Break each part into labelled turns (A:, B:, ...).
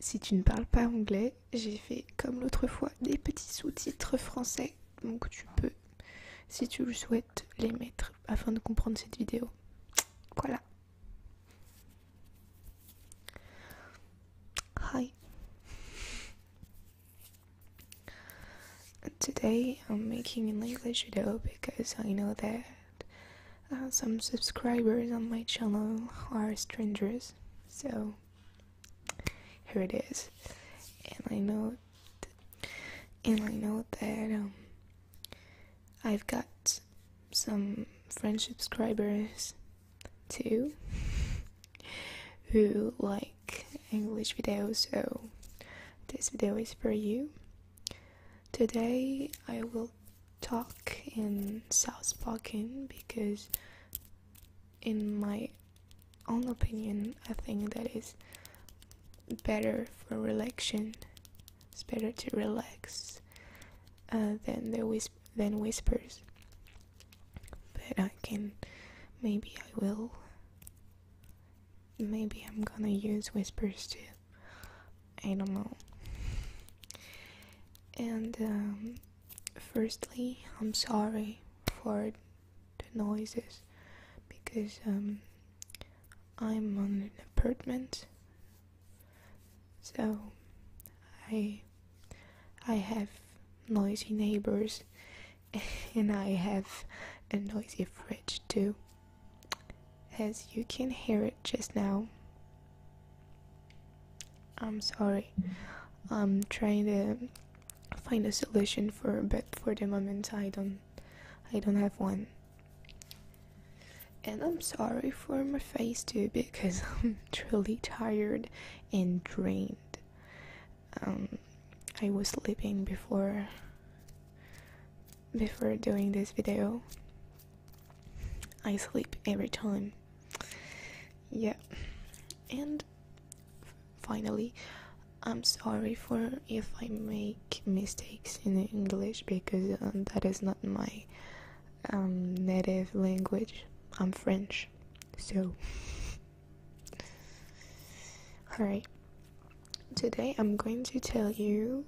A: Si tu ne parles pas anglais, j'ai fait comme l'autre fois des petits sous-titres français, donc tu peux, si tu le souhaites, les mettre afin de comprendre cette vidéo. Voilà. Hi. Today I'm making an English video because I know that Uh, some subscribers on my channel are strangers, so here it is. And I know, and I know that um, I've got some French subscribers too, who like English videos. So this video is for you. Today I will talk in South Spoken because, in my own opinion, I think that is better for relaxation. It's better to relax uh, than the whis than whispers. But I can, maybe I will. Maybe I'm gonna use whispers too animal. And um, firstly, I'm sorry for the noises because um, I'm on an apartment, so I I have noisy neighbors, and I have a noisy fridge too as you can hear it just now. I'm sorry. I'm trying to find a solution for but for the moment I don't I don't have one. And I'm sorry for my face too because I'm truly tired and drained. Um, I was sleeping before before doing this video. I sleep every time. Yeah. And finally, I'm sorry for if I make mistakes in English because um, that is not my um, native language. I'm French. So, alright. Today I'm going to tell you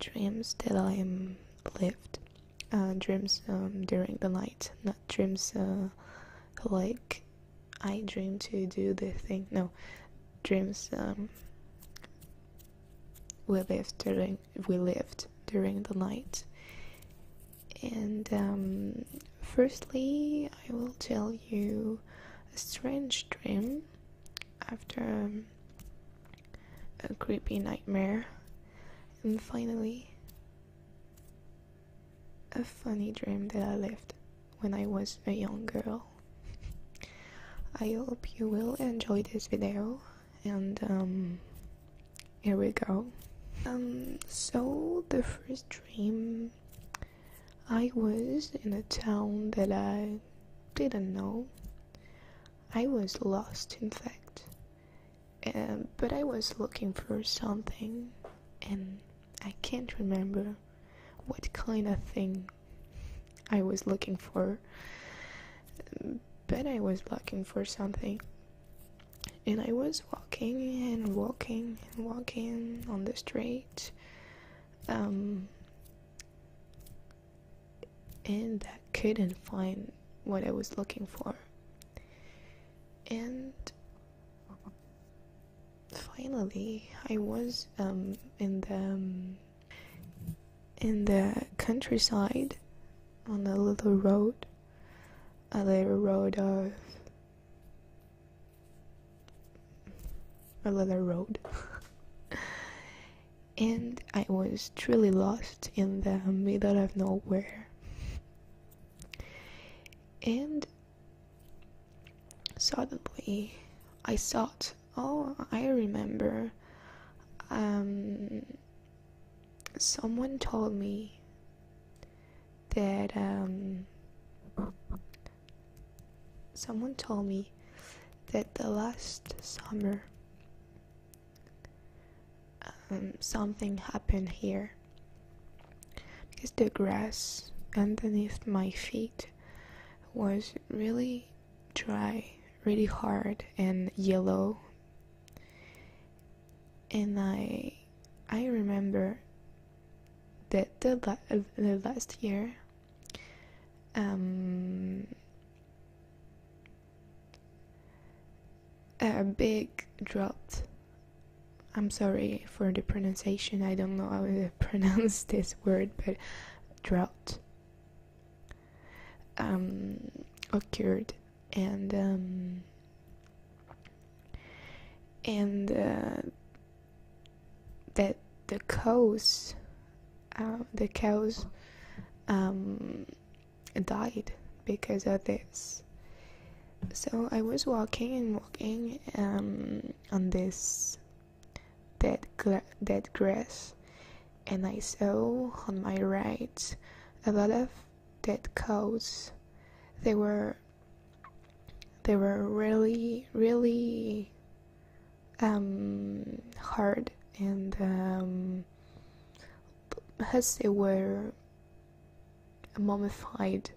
A: dreams that I lived uh, dreams um, during the night not dreams uh, like I dream to do the thing no dreams um, we lived during we lived during the night and um, firstly I will tell you a strange dream after um, a creepy nightmare, and finally, a funny dream that I lived when I was a young girl. I hope you will enjoy this video, and um, here we go. Um, so the first dream, I was in a town that I didn't know. I was lost, in fact. Um, but I was looking for something, and I can't remember what kind of thing I was looking for. But I was looking for something. And I was walking and walking and walking on the street. Um, and I couldn't find what I was looking for. And finally, I was um, in the um, in the countryside on a little road, a little road of a little road. and I was truly lost in the middle of nowhere. And suddenly I thought, oh, I remember. Um, someone told me that um, Someone told me that the last summer um, something happened here because the grass underneath my feet was really dry, really hard and yellow. And I I remember that the, the last year um, a big drought. I'm sorry for the pronunciation. I don't know how to pronounce this word, but drought um, occurred, and um, and uh, that the cows, um, the cows, um, died because of this. So I was walking and walking um, on this dead dead grass, and I saw on my right a lot of dead cows. They were they were really really um, hard and as um, they were mummified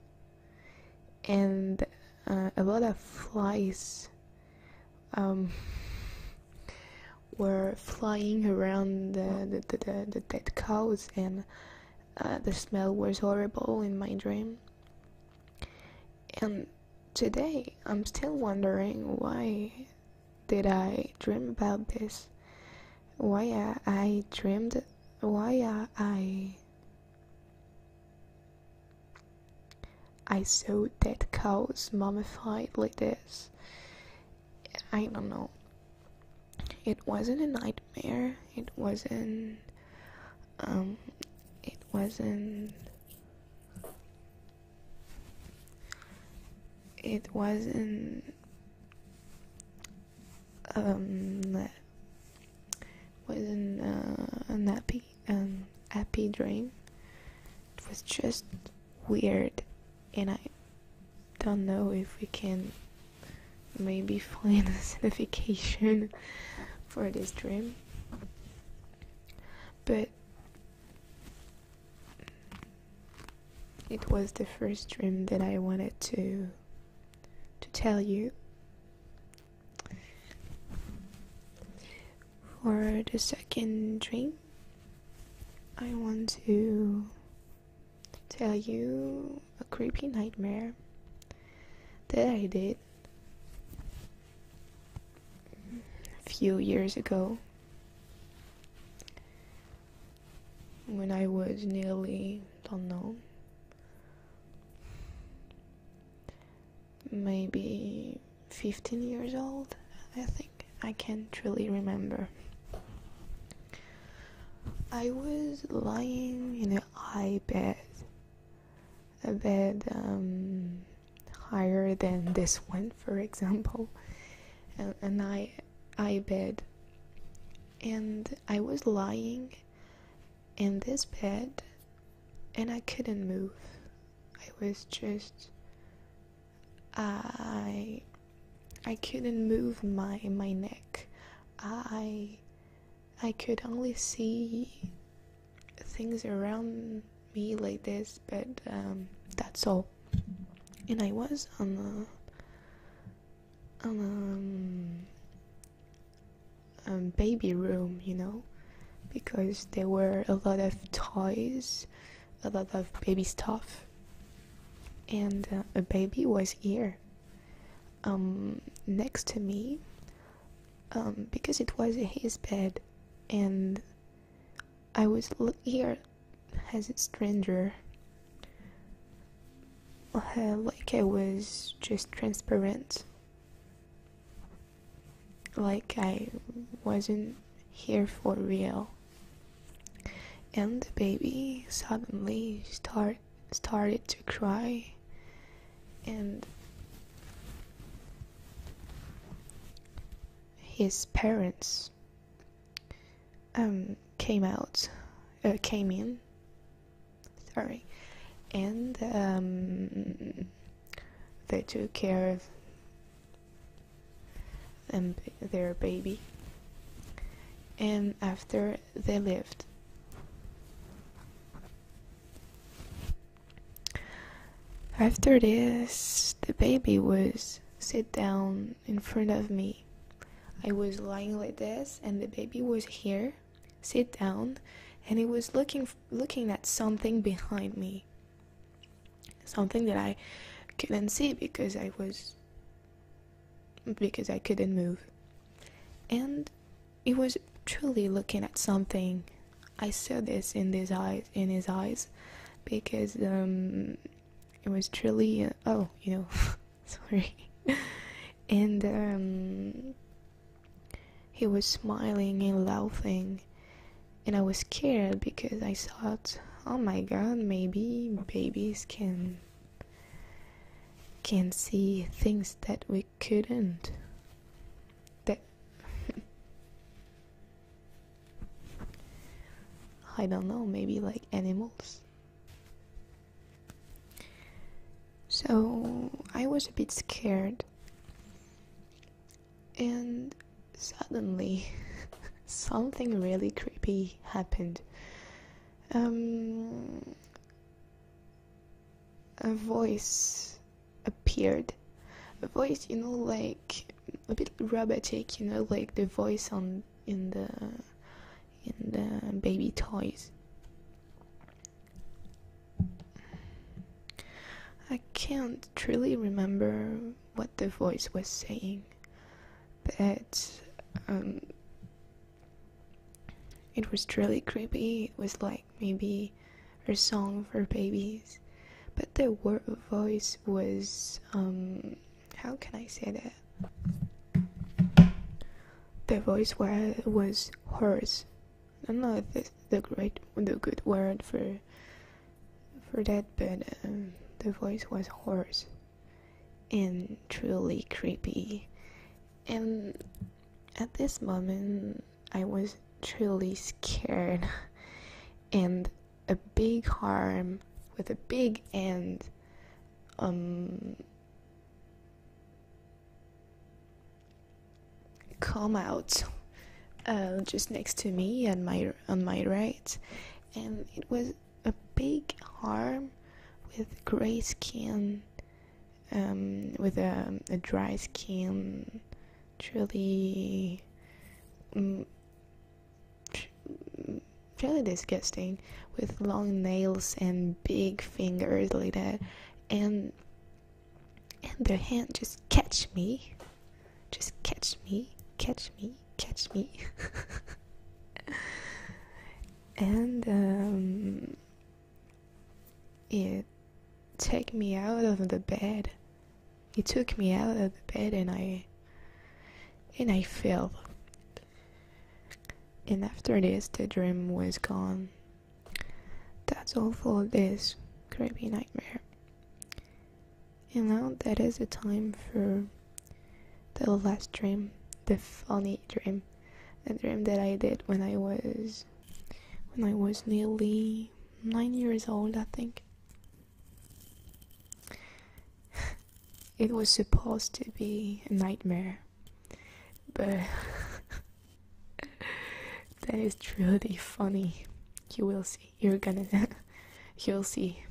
A: and uh, a lot of flies um, were flying around the, the, the, dead cows and uh, the smell was horrible in my dream and today I'm still wondering why did I dream about this? Why I, dreamed why I I saw dead cows mummified like this. I don't know. It wasn't a nightmare. It wasn't um, it wasn't. It wasn't. Um, wasn't uh, an happy, um, happy dream. It was just weird, and I don't know if we can maybe find a signification for this dream but it was the first dream that I wanted to to tell you for the second dream I want to tell you a creepy nightmare that I did a few years ago, when I was nearly, don't know, maybe 15 years old, I think. I can't really remember. I was lying in an eye bed a bit um, higher than this one, for example, and I I bed, and I was lying in this bed, and I couldn't move. I was just I I couldn't move my my neck. I I could only see things around me like this, but um, that's all. And I was on a um, um, baby room, you know, because there were a lot of toys, a lot of baby stuff, and uh, a baby was here. next to me um, because it was his bed, and I was here as a stranger, uh, like I was just transparent, like I wasn't here for real. And the baby suddenly start started to cry and his parents um, came out, uh, came in, sorry, and um, they took care of their baby. And after they left, after this, the baby was sit down in front of me. I was lying like this, and the baby was here, sit down, and he was looking looking at something behind me. Something that I couldn't see because I was because I couldn't move. And he was truly looking at something. I saw this in his eyes, in his eyes, because um, it was truly uh, oh, you know, sorry, and um, he was smiling and laughing, and I was scared because I thought, oh my God, maybe babies can can see things that we couldn't I don't know, maybe like animals. So I was a bit scared. And suddenly something really creepy happened. Um, a voice appeared. A voice, you know, like a bit robotic, you know, like the voice on in the in the baby toys. I can't truly remember what the voice was saying, but um, it was really creepy. It was like maybe a song for babies, but the voice was um how can I say that? The voice was was hoarse. I don't know if this the great the good word for for that, but um, the voice was hoarse and truly creepy and at this moment I was truly scared and a big harm with a big end um come out uh, just next to me and my on my right and it was a big arm with gray skin um, with a, a, dry skin, truly, um, mm, really mm, disgusting, with long nails and big fingers like that, and and their hand just catch me, just catch me, catch me, catch me, and um, it took me out of the bed. It took me out of the bed and I and I fell. And after this the dream was gone. That's all for this creepy nightmare. And now that is the time for the last dream, the funny dream a dream that I did when I was when I was nearly nine years old, I think. It was supposed to be a nightmare, but that is truly funny. You will see. You're gonna. you'll see.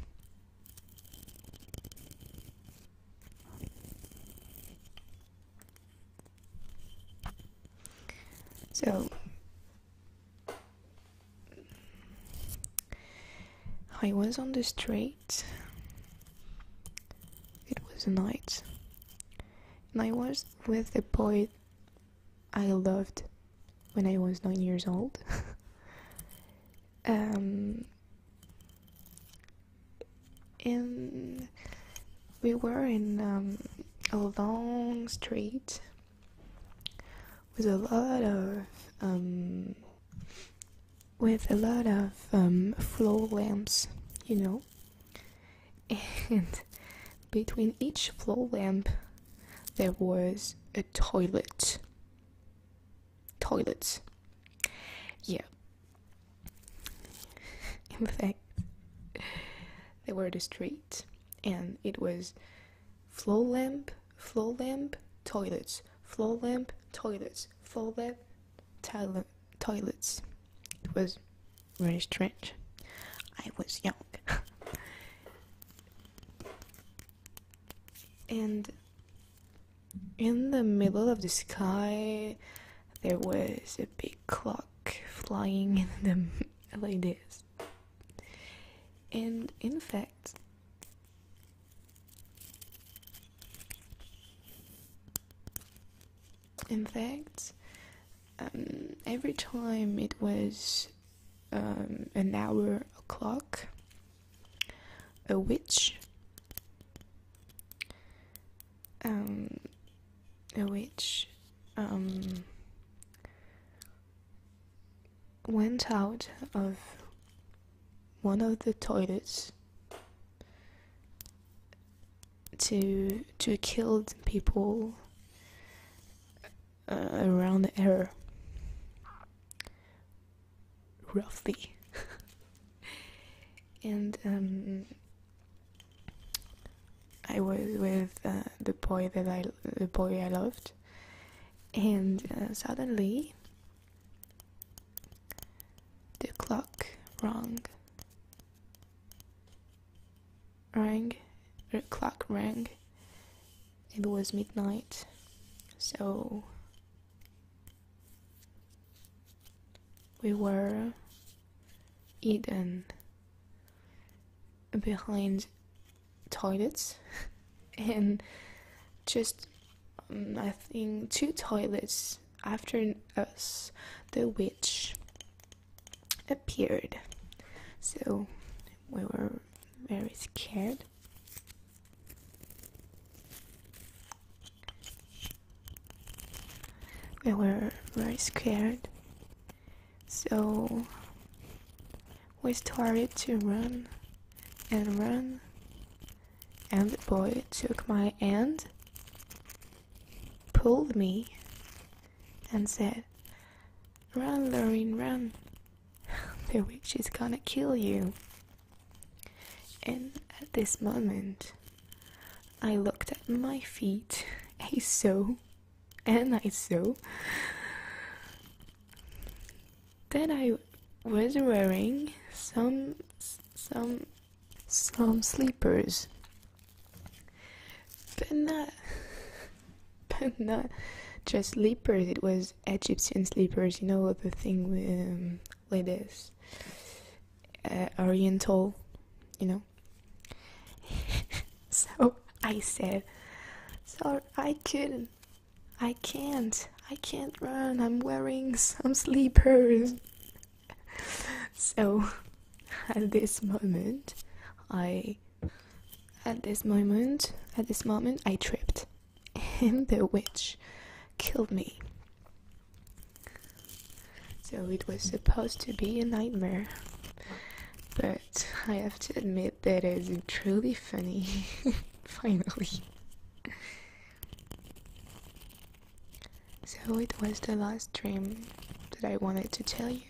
A: So, I was on the street, it was night, and I was with the boy I loved when I was nine years old. um, and we were in um, a long street with a lot of um, with a lot of um, floor lamps, you know, and between each floor lamp there was a toilet. Toilets. Yeah, In fact, they were the street, and it was floor lamp, floor lamp, toilets, floor lamp, toilets, floor lamp, toilet, toilets. It was very strange. I was young. and in the middle of the sky there was a big clock flying in them like this and in fact in fact um, every time it was um, an hour o'clock a witch um, which um, went out of one of the toilets to to kill people uh, around the area wealthy. and um, I was with uh, the boy that I the boy I loved, and uh, suddenly the clock rang. Rang, the clock rang. It was midnight, so we were hidden behind toilets and just um, I think two toilets after us the witch appeared so we were very scared we were very scared, so we started to run and run, and the boy took my hand, pulled me, and said, Run, Lorraine, run. the witch is gonna kill you. And at this moment, I looked at my feet. I saw, and I saw Then I was wearing some some some sleepers, but not but not just sleepers. It was Egyptian sleepers. You know the thing with um, like this uh, oriental you know so i said sorry i couldn't i can't i can't run i'm wearing some sleepers so at this moment i at this moment at this moment i tripped and the witch killed me. So it was supposed to be a nightmare, but I have to admit that it is truly funny. Finally. So it was the last dream that I wanted to tell you.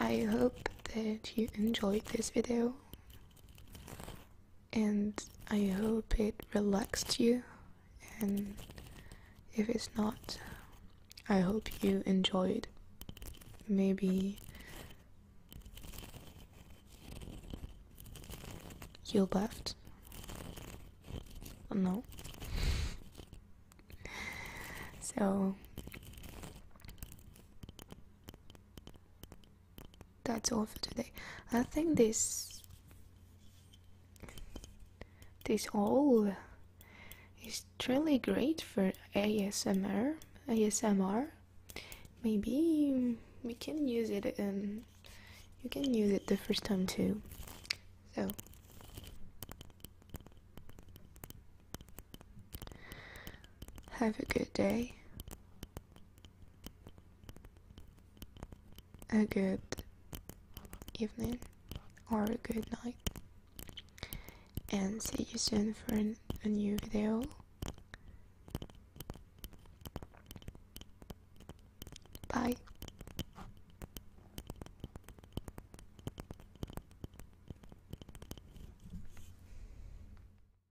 A: I hope that you enjoyed this video and I hope it relaxed you. And if it's not, I hope you enjoyed. Maybe you left. No. so that's all for today. I think this this all is really great for ASMR. ASMR. Maybe we can use it and um, you can use it the first time too. So. Have a good day a good evening or a good night and see you soon for a new video bye